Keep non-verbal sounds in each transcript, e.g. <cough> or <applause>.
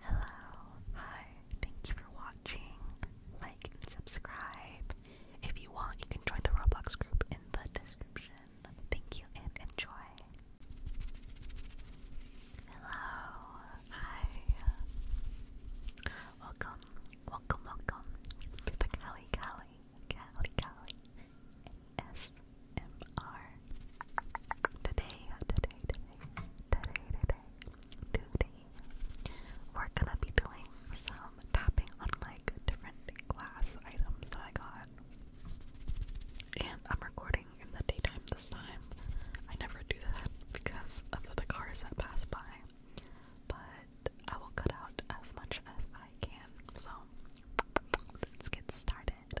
Hello, hi, thank you for watching. Like and subscribe. If you want, you can join the Roblox group in the description. Thank you and enjoy. Hello, hi. Welcome, welcome, welcome Cali Cali, Cali Cali ASMR Today, today, today, today, today, today, we're gonna be doing some tapping on like different glass items that I got. And I'm recording in the daytime this time. I never do that because of the cars that pass by. But I will cut out as much as I can. So let's get started.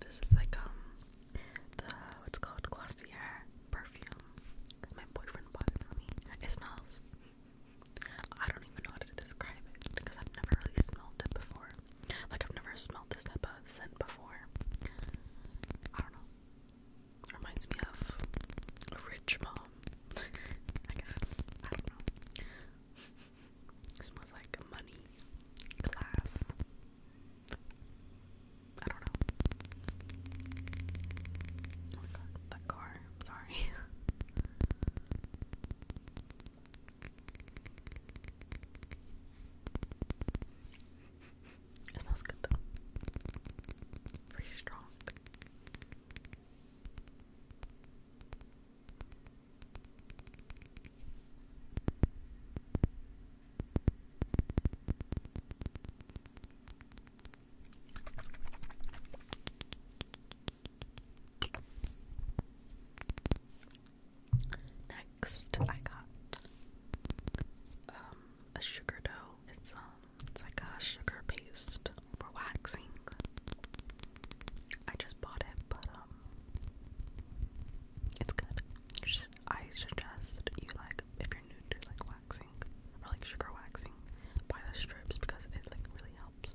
This is like um the what's called Glossier perfume. My boyfriend bought it for me. It smells. I don't even know how to describe it because I've never really smelled it before. Like I've never smelled this type of scent before. I don't know. reminds me of a rich mom. <laughs> I guess. I don't know. smells like money, glass. I don't know. Oh my god, that car. sorry. <laughs> It smells good though. Pretty strong. Next, I got um, a sugar dough. It's um, like a sugar paste for waxing. I just bought it, but um, it's good. Just, I suggest you like if you're new to like waxing or like sugar waxing, buy the strips because it like really helps.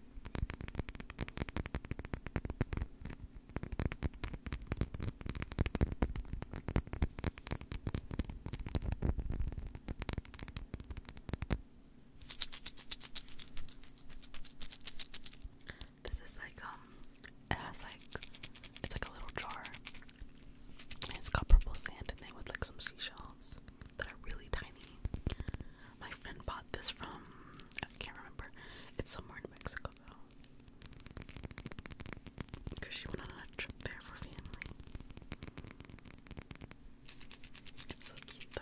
This is like um it has like it's like a little jar and it's got purple sand in it with like some seashells that are really tiny my friend bought this from I can't remember. It's somewhere in Mexico though. Because she went on a trip there for family. so cute though.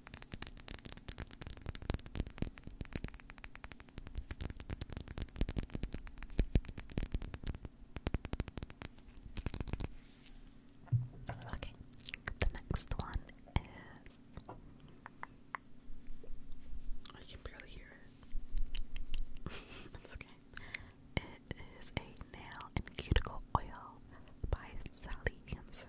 Okay, the next one is. I can barely hear it. <laughs> That's okay. It is a nail and cuticle oil by Sally Hansen.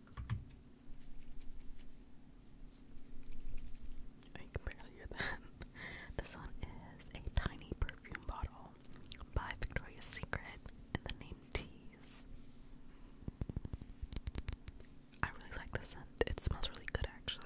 I can barely hear that. <laughs> This one is a tiny perfume bottle by Victoria's Secret in the name Tease. I really like the scent. It smells really good actually.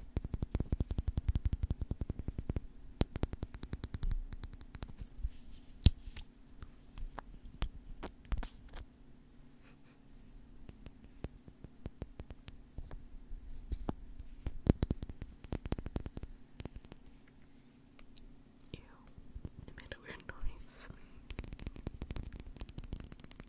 Ew, it made a weird noise.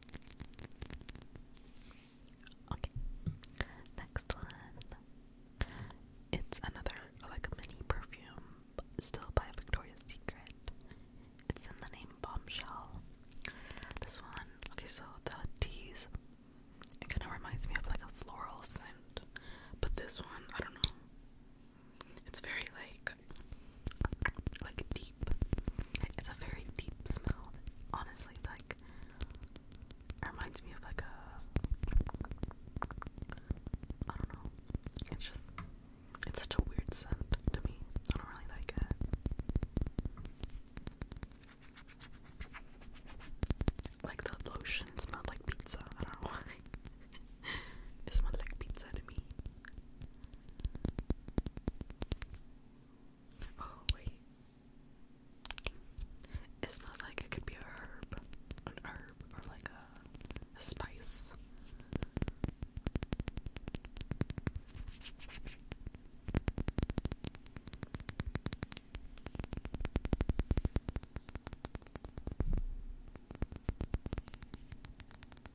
Okay, next one. It's another like mini perfume, still by Victoria's Secret. It's in the name Bombshell. This one, okay, so the teas, it kind of reminds me of like a floral scent, but this one, I don't know. It's very like like deep. It's a very deep smell. Honestly, like reminds me of like a I don't know. It's just it's such a weird scent to me. I don't really like it. Like the lotion smelled like pizza. I don't know <laughs> it smelled like pizza to me. Oh, wait. It smells like it could be a herb. An herb or like a spice.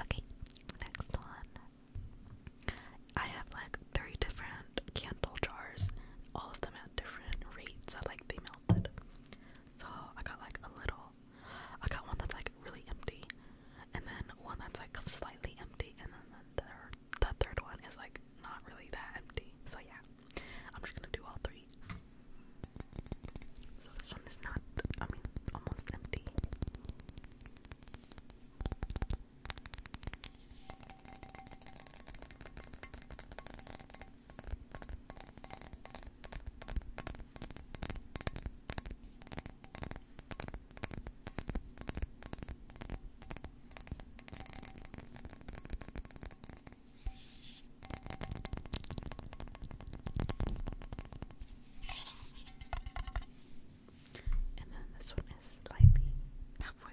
Okay, next one. I have like three different candle jars, all of them at different rates. I like they melted. So I got like a little. I got one that's like really empty and then one that's like slightly empty, and then the third, one is like not really that empty. So yeah, I'm just gonna do all three. So this one is not, I mean, almost empty. And then this one is slightly halfway.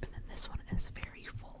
And then this one is very full.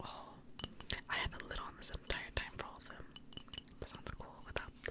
Oh, I had the lid on this entire time for all of them. That sounds cool without the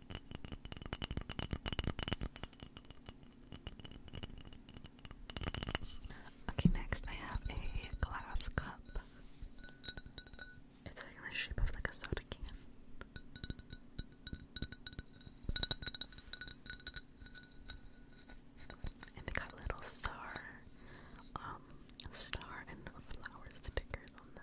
Okay, next I have a glass cup. It's like the shape of like a soda can. And they got little star, um, star and flower stickers on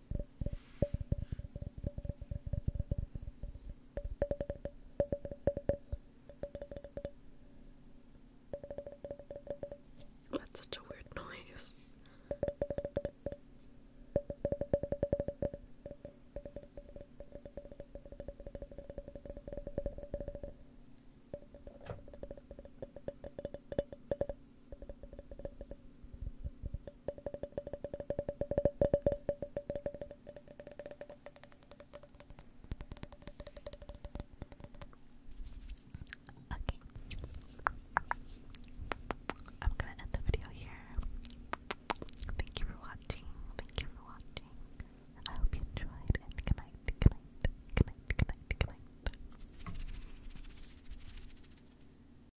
That's such a weird noise. Okay. I'm gonna end the video here. Thank you for watching. Thank you for watching. I hope you enjoyed and good night, good night, good night, good night, good night.